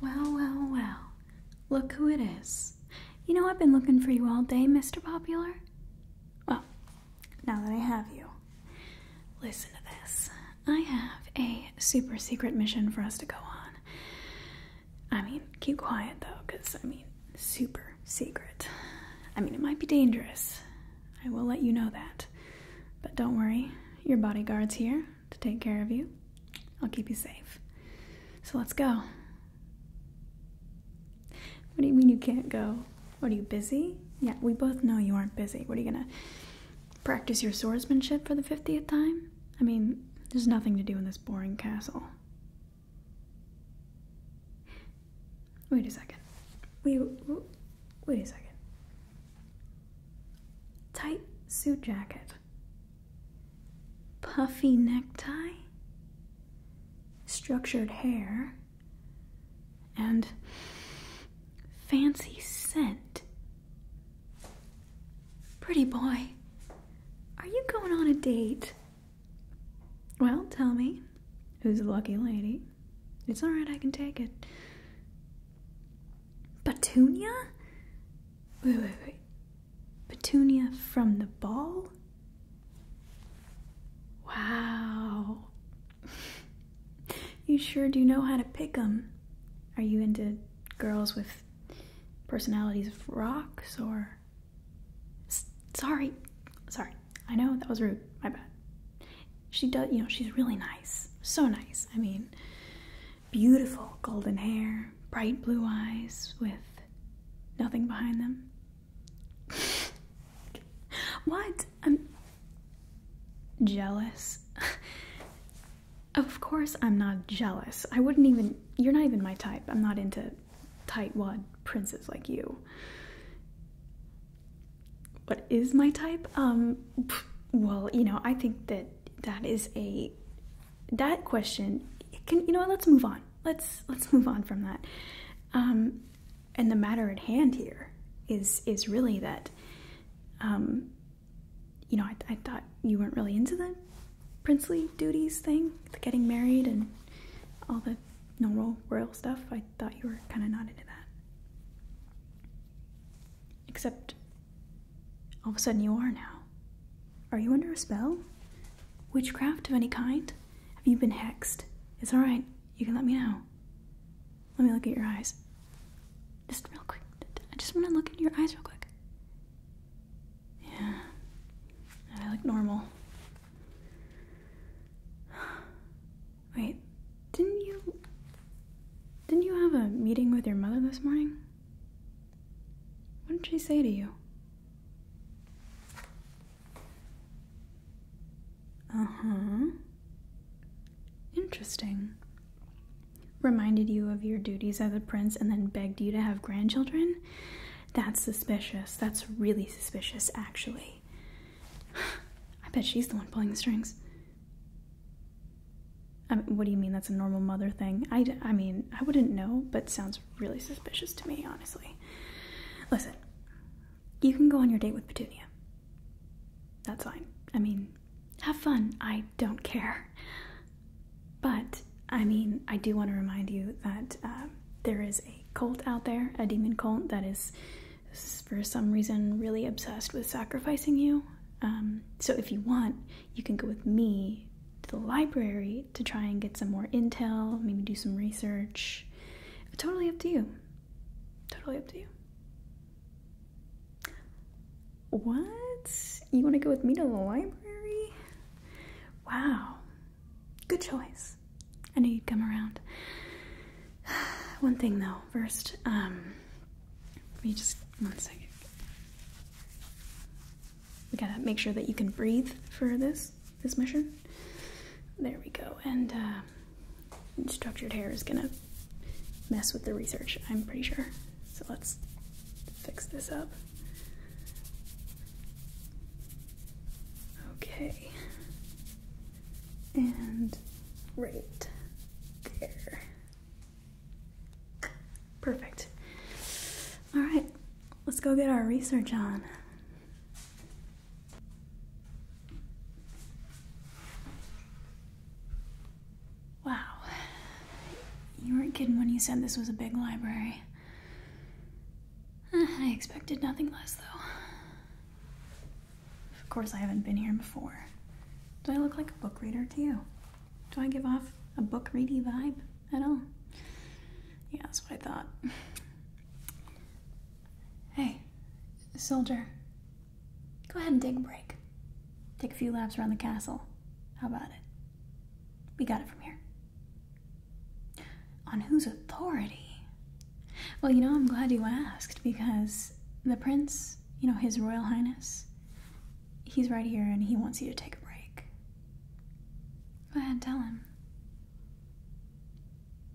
Well, well, well. Look who it is. You know, I've been looking for you all day, Mr. Popular. Well, oh, now that I have you, listen to this. I have a super secret mission for us to go on. I mean, keep quiet though, because I mean, super secret. I mean, it might be dangerous. I will let you know that. But don't worry, your bodyguard's here to take care of you. I'll keep you safe. So let's go. What do you mean you can't go? What are you busy? Yeah, we both know you aren't busy. What are you gonna practice your swordsmanship for the 50th time? I mean, there's nothing to do in this boring castle. Wait a second. Wait, wait a second. Tight suit jacket. Puffy necktie. Structured hair. And fancy scent. Pretty boy, are you going on a date? Well, tell me, who's the lucky lady? It's alright, I can take it. Petunia? Wait, wait, wait. Petunia from the ball? Wow. you sure do know how to pick 'em. Are you into girls with personalities of rocks or. sorry. Sorry. I know that was rude. My bad she does you know she's really nice so nice i mean beautiful golden hair bright blue eyes with nothing behind them what i'm jealous of course i'm not jealous i wouldn't even you're not even my type i'm not into tight-wad princes like you what is my type? Um, well, you know, I think that that is a that question. can you know? Let's move on. Let's let's move on from that. Um, and the matter at hand here is is really that. Um, you know, I thought you weren't really into the princely duties thing, the getting married and all the normal royal stuff. I thought you were kind of not into that. Except, all of a sudden you are now. Are you under a spell? Witchcraft of any kind? Have you been hexed? It's alright. You can let me know. Let me look at your eyes. Just real quick. I just want to look into your eyes real quick. Yeah. I look normal. Wait, didn't you. Didn't you have a meeting with your mother this morning? What did she say to you? Uh huh. Interesting. Reminded you of your duties as a prince and then begged you to have grandchildren? That's suspicious. That's really suspicious, actually. I bet she's the one pulling the strings what do you mean that's a normal mother thing? I, I mean, I wouldn't know, but sounds really suspicious to me, honestly. Listen, you can go on your date with Petunia. That's fine. I mean, have fun. I don't care. But, I mean, I do want to remind you that um, there is a cult out there, a demon cult that is is for some reason really obsessed with sacrificing you. Um, so if you want, you can go with me to the library to try and get some more intel, maybe do some research. Totally up to you. Totally up to you. What? You want to go with me to the library? Wow. Good choice. I knew you'd come around. One thing though, first um let me just one second we gotta make sure that you can breathe for this this mission there we go and uh, structured hair is gonna mess with the research i'm pretty sure so let's fix this up okay and right there. Perfect. All right, let's go get our research on. Wow, you weren't kidding when you said this was a big library. Uh, I expected nothing less, though. Of course, I haven't been here before. Do I look like a book reader to you? Do I give off a book reading vibe at all? Yeah, that's what I thought. Hey, soldier, go ahead and take a break. Take a few laps around the castle. How about it? We got it from here. On whose authority? Well, you know, I'm glad you asked because the prince you know, His Royal Highness, he's right here and he wants you to take a break. Go ahead, tell him.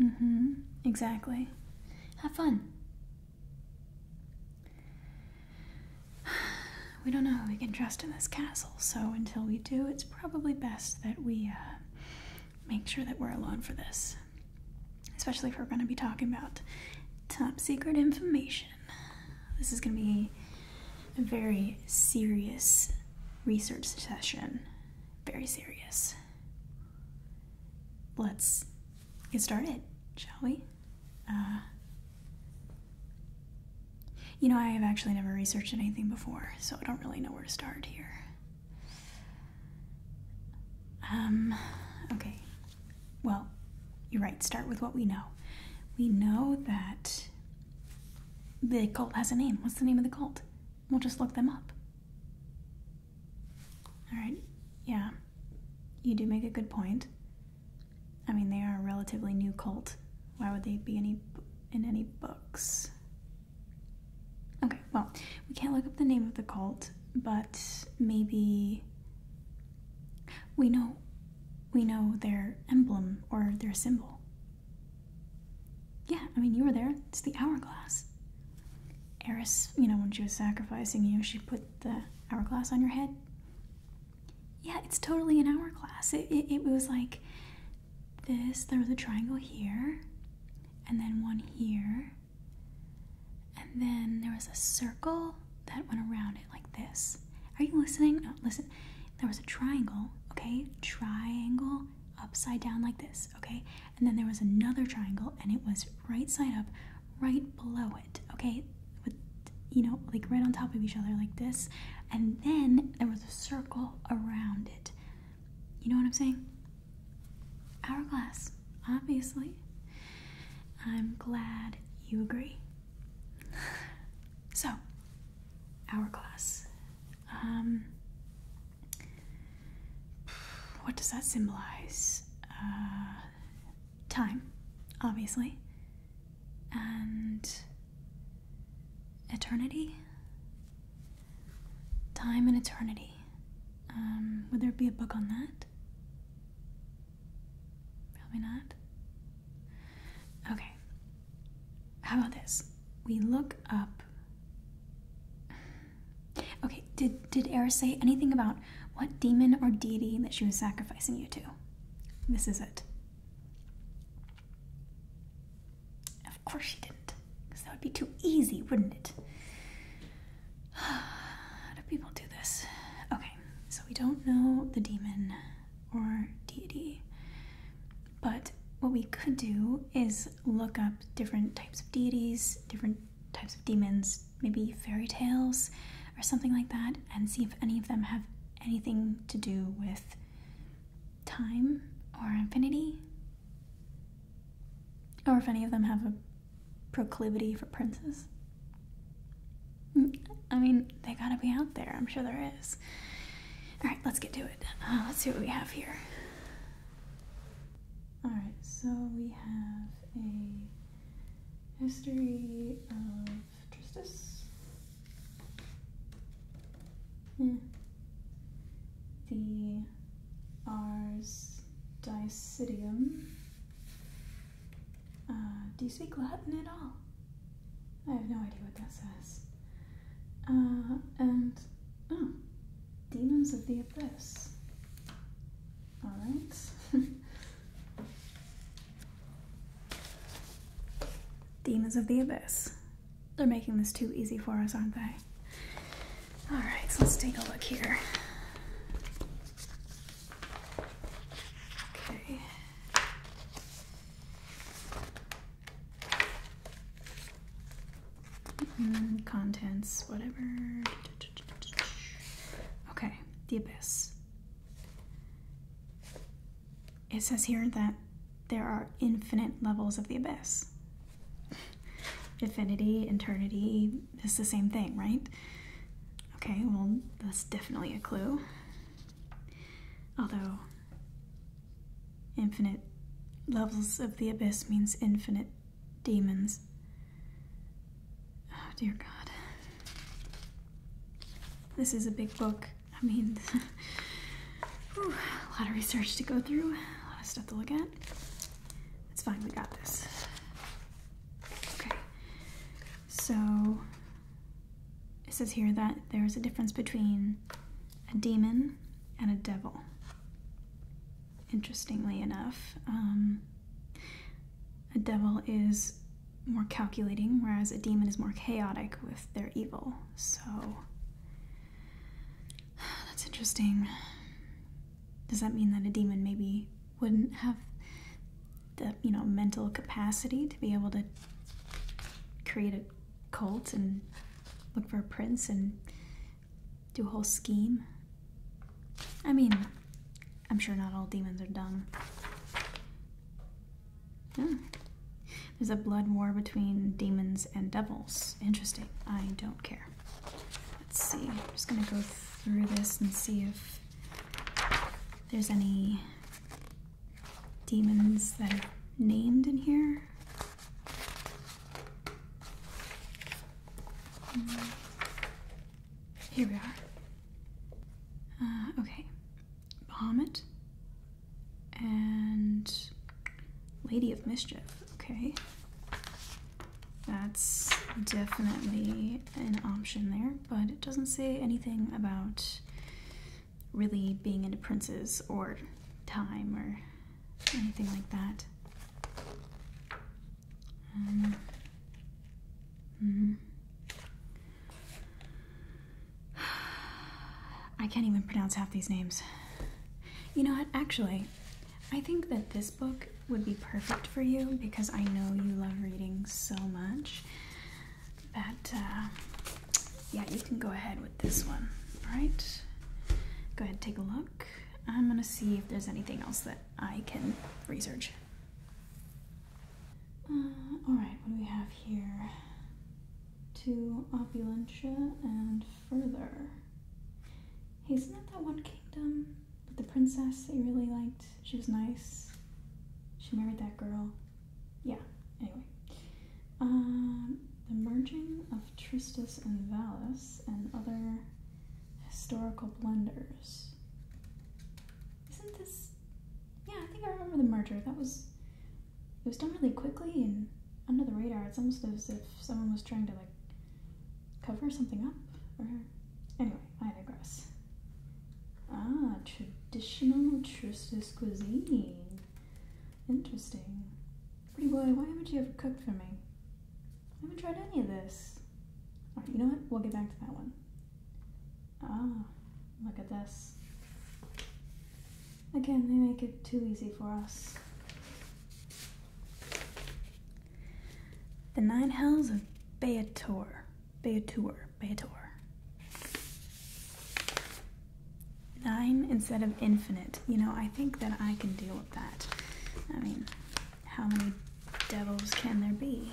Mm hmm, exactly. Have fun. We don't know who we can trust in this castle, so until we do, it's probably best that we uh, make sure that we're alone for this especially if we're going to be talking about top secret information. This is going to be a very serious research session. Very serious. Let's get started, shall we? Uh, you know, I have actually never researched anything before, so I don't really know where to start here. Um, okay, well, you're right, start with what we know. We know that the cult has a name. What's the name of the cult? We'll just look them up. Alright, yeah, you do make a good point. I mean, they are a relatively new cult. Why would they be any in any books? well, we can't look up the name of the cult, but maybe we know we know their emblem or their symbol. Yeah, I mean you were there. It's the hourglass. Eris, you know, when she was sacrificing you, she put the hourglass on your head. Yeah, it's totally an hourglass. It, it, it was like this, there was a triangle here, and then one here, and then there was a circle that went around it like this. Are you listening? No, listen. There was a triangle, okay? Triangle upside down like this, okay? And then there was another triangle and it was right side up, right below it, okay? With, you know, like right on top of each other like this. And then there was a circle around it. You know what I'm saying? Hourglass, obviously. I'm glad you agree. so, hourglass. Um, what does that symbolize? Uh, time, obviously. And eternity? Time and eternity. Um, would there be a book on that? Probably not. Okay. How about this? We look up. Okay, did did Eris say anything about what demon or deity that she was sacrificing you to? This is it. Of course she didn't, because that would be too easy, wouldn't it? How do people do this? Okay, so we don't know the demon or deity, but what we could do is look up different types of deities, different types of demons, maybe fairy tales or something like that, and see if any of them have anything to do with time or infinity. Or if any of them have a proclivity for princes. Mm, I mean, they gotta be out there. I'm sure there is. Alright, let's get to it. Uh, let's see what we have here. Alright, so we have a history of Tristis. The hmm. R's Dysidium. Uh, do you speak Latin at all? I have no idea what that says. Uh, and, oh, Demons of the Abyss. Alright. Demons of the Abyss. They're making this too easy for us, aren't they? All right, so let's take a look here. Okay. contents, whatever. Okay, the abyss. It says here that there are infinite levels of the abyss. Infinity, eternity, it's the same thing, right? Okay, well, that's definitely a clue. Although, infinite levels of the abyss means infinite demons. Oh, dear God. This is a big book. I mean, a lot of research to go through, a lot of stuff to look at. It's fine, we got this. Okay, so it says here that there's a difference between a demon and a devil. Interestingly enough, um, a devil is more calculating, whereas a demon is more chaotic with their evil. So that's interesting. Does that mean that a demon maybe wouldn't have the you know mental capacity to be able to create a cult and look for a prince and do a whole scheme? I mean, I'm sure not all demons are dumb. Yeah. Hmm. There's a blood war between demons and devils. Interesting. I don't care. Let's see. I'm just going to go through this and see if there's any demons that are named in here. Hmm. Here we are. Uh, okay. Bahamut and Lady of Mischief. Okay. That's definitely an option there, but it doesn't say anything about really being into princes or time or anything like that. Um, mm-hmm. I can't even pronounce half these names. You know what? Actually, I think that this book would be perfect for you because I know you love reading so much that, uh, yeah, you can go ahead with this one. All right, go ahead, take a look. I'm gonna see if there's anything else that I can research. Uh, all right, what do we have here? To opulentia and further. isn't that that one kingdom? But the princess they really liked. She was nice. She married that girl. Yeah, anyway. Um, the merging of Tristis and Valis and other historical blunders. Isn't this. Yeah, I think I remember the merger. That was. It was done really quickly and under the radar. It's almost as if someone was trying to, like, cover something up? Or anyway, I digress. Ah, traditional Tristis cuisine. Interesting. Pretty boy, why haven't you ever cooked for me? I haven't tried any of this. you know what? We'll get back to that one. Ah, look at this. Again, they make it too easy for us. The Nine Hells of Beator. Beator. Beator. Nine instead of infinite. You know, I think that I can deal with that. I mean, how many devils can there be?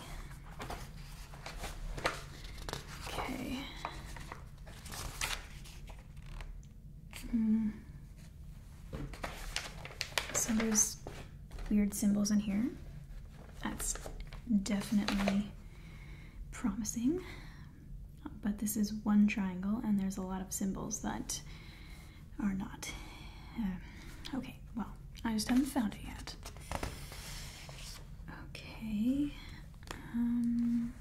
Okay. Mm. So there's weird symbols in here. That's definitely promising. But this is one triangle and there's a lot of symbols that are not. Uh, okay, well, I just haven't found it yet. Okay. Um,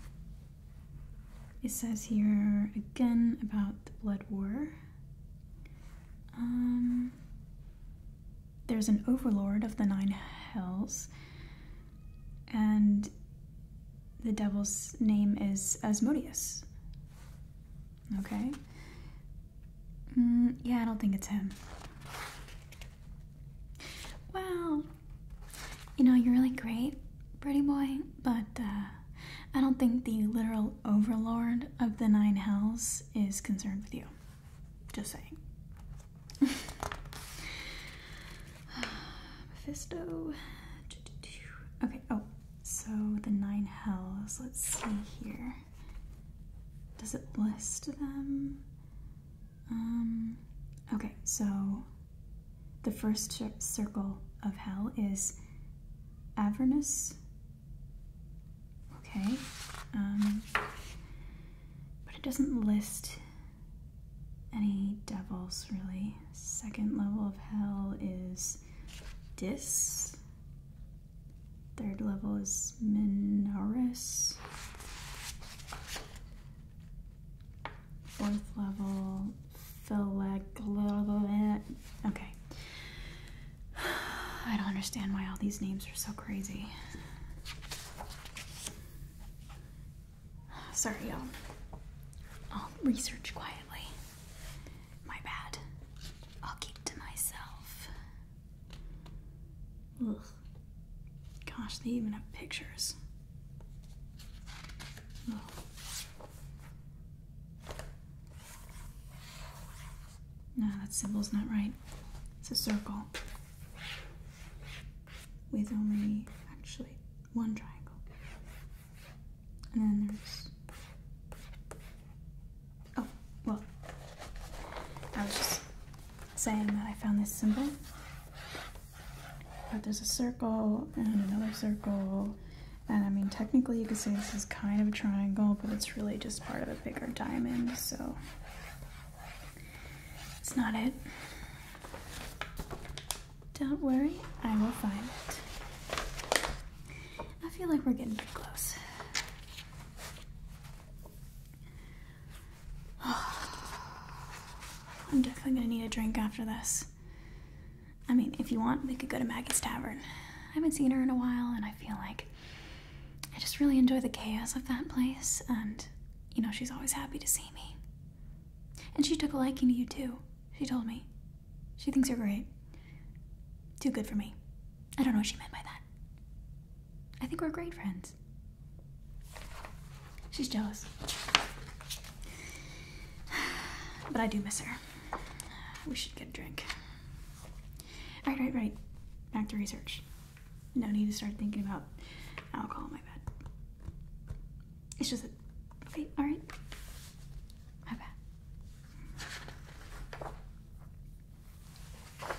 it says here again about the blood war. Um, there's an overlord of the nine hells, and the devil's name is Asmodeus. Okay. Mm, yeah, I don't think it's him. Wow. you know, you're really great, pretty boy, but uh, I don't think the literal overlord of the nine hells is concerned with you. Just saying. Mephisto. Okay, oh, so the nine hells. Let's see here. Does it list them? Um, okay, so the first circle of hell is Avernus, Okay. Um, but it doesn't list any devils really. Second level of hell is Dis. Third level is minoris. Fourth level Philag. Okay. I don't understand why all these names are so crazy. Sorry, y'all. I'll research quietly. My bad. I'll keep to myself. Ugh. Gosh, they even have pictures. No, that symbol's not right. It's a circle with only actually one triangle. And then there's. Oh, well. I was just saying that I found this symbol. But there's a circle and another circle and I mean, technically you could say this is kind of a triangle, but it's really just part of a bigger diamond, so it's not it. Don't worry, I will find it. I feel like we're getting pretty close. I'm definitely gonna need a drink after this. I mean, if you want, we could go to Maggie's Tavern. I haven't seen her in a while, and I feel like I just really enjoy the chaos of that place, and you know, she's always happy to see me. And she took a liking to you, too, she told me. She thinks you're great. Too good for me. I don't know what she meant by that. I think we're great friends. She's jealous. But I do miss her. We should get a drink. Right, right, right. Back to research. No need to start thinking about alcohol, my bad. It's just that. Okay, alright. My bad. okay.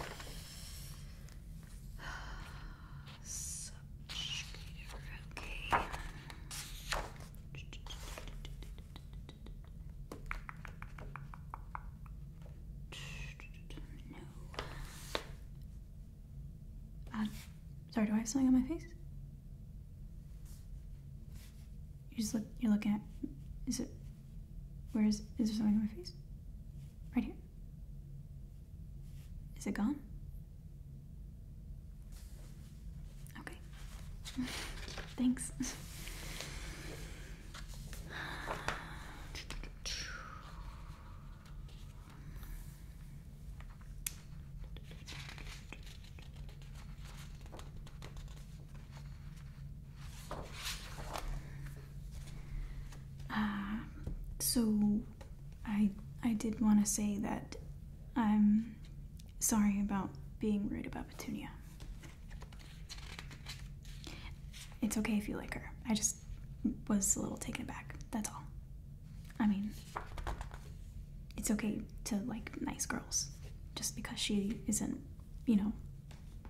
No. Uh, sorry, do I have something on my face? You just look. You're looking at. Is it? Where is? Is there something on my face? Right here. Is it gone? Okay. Thanks. Uh, so I I did want to say that I'm um, Sorry about being rude about Petunia. It's okay if you like her. I just was a little taken aback. That's all. I mean, it's okay to like nice girls just because she isn't, you know,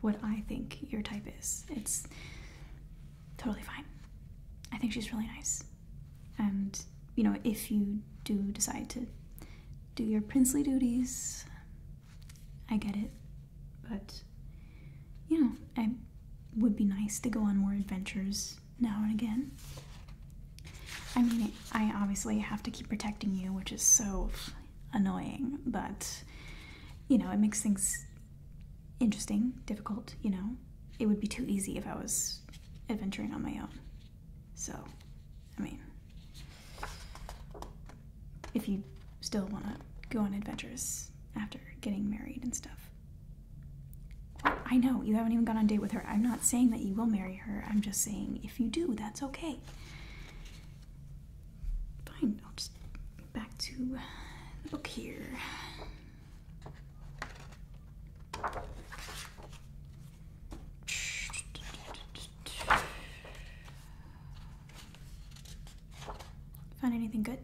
what I think your type is. It's totally fine. I think she's really nice. And you know, if you do decide to do your princely duties, I get it. But, you know, it would be nice to go on more adventures now and again. I mean, I obviously have to keep protecting you, which is so annoying, but, you know, it makes things interesting, difficult, you know. It would be too easy if I was adventuring on my own. So, I mean, if you still want to go on adventures after getting married and stuff. I know, you haven't even gone on date with her. I'm not saying that you will marry her. I'm just saying if you do, that's okay. Fine, I'll just get back to the book here. Find anything good?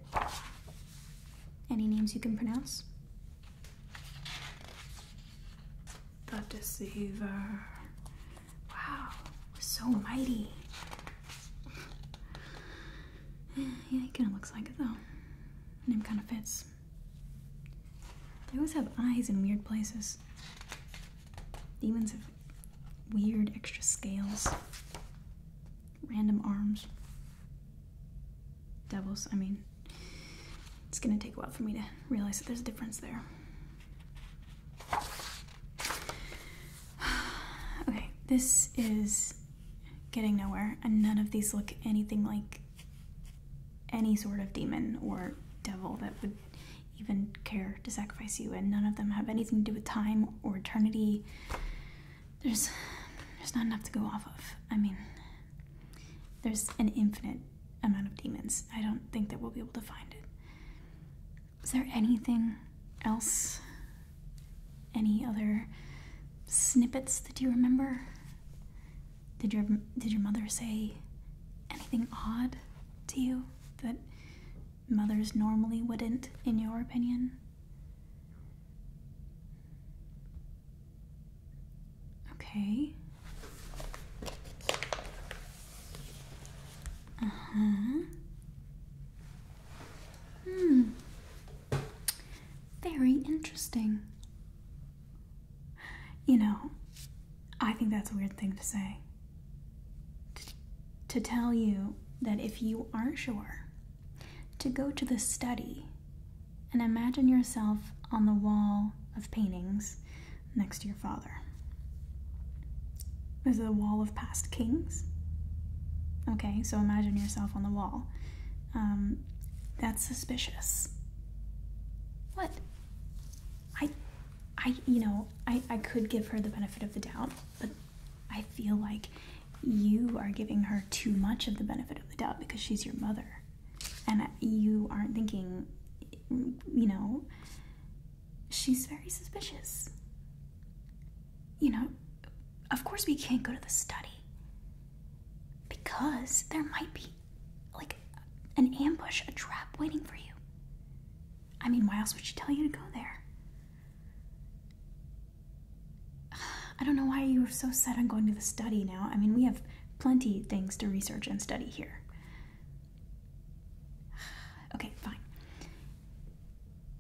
Any names you can pronounce? The Deceiver. Wow, was so mighty. Yeah, he kind of looks like it though. Name kind of fits. They always have eyes in weird places. Demons have weird extra scales, random arms. Devils, I mean, it's gonna take a while for me to realize that there's a difference there. okay, this is getting nowhere, and none of these look anything like any sort of demon or devil that would even care to sacrifice you, and none of them have anything to do with time or eternity. There's there's not enough to go off of. I mean, there's an infinite amount of demons. I don't think that we'll be able to find it. Is there anything else? Any other snippets that you remember? Did your did your mother say anything odd to you that mothers normally wouldn't in your opinion? Okay. Uh-huh. Hmm. Very interesting. You know, I think that's a weird thing to say. to tell you that if you aren't sure, to go to the study and imagine yourself on the wall of paintings next to your father. There's a wall of past kings. Okay, so imagine yourself on the wall. Um, that's suspicious. What? I, I, you know, I, I could give her the benefit of the doubt, but I feel like you are giving her too much of the benefit of the doubt because she's your mother. And you aren't thinking, you know, she's very suspicious. You know, of course we can't go to the study because there might be like an ambush, a trap waiting for you. I mean, why else would she tell you to go there? I don't know why you were so set on going to the study now. I mean, we have plenty things to research and study here. Okay, fine.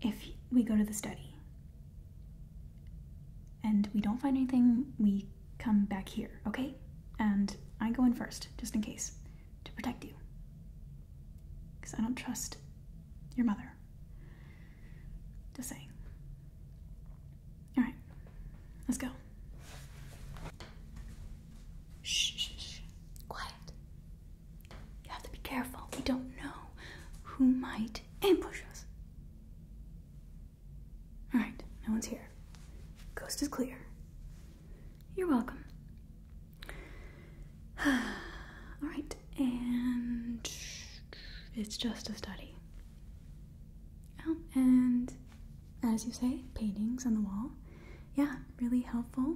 If we go to the study and we don't find anything, we we come back here, okay? And I go in first, just in case, to protect you. Because I don't trust your mother. Just saying. Alright, let's go. Shh, shh, shh. Quiet. You have to be careful. We don't know who might ambush us. Alright, no one's here. Coast is clear. You're welcome. Alright, and it's just a study. Oh, and as you say, paintings on the wall. Yeah, really helpful.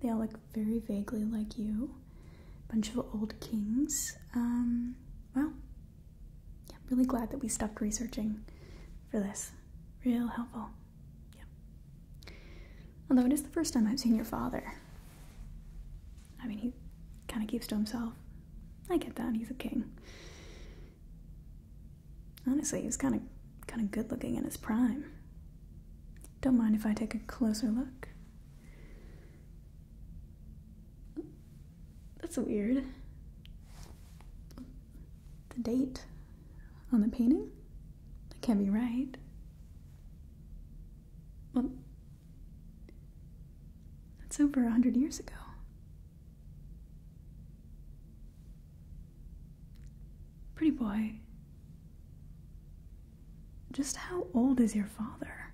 They all look very vaguely like you. Bunch of old kings. Um, well, yeah, I'm really glad that we stopped researching for this. Real helpful. Yeah. Although it is the first time I've seen your father. I mean, he kind of keeps to himself. I get that. He's a king. Honestly, he was kind of kind of good looking in his prime. Don't mind if I take a closer look. That's weird the date on the painting? That can't be right. Well, that's over a hundred years ago. Pretty boy, just how old is your father?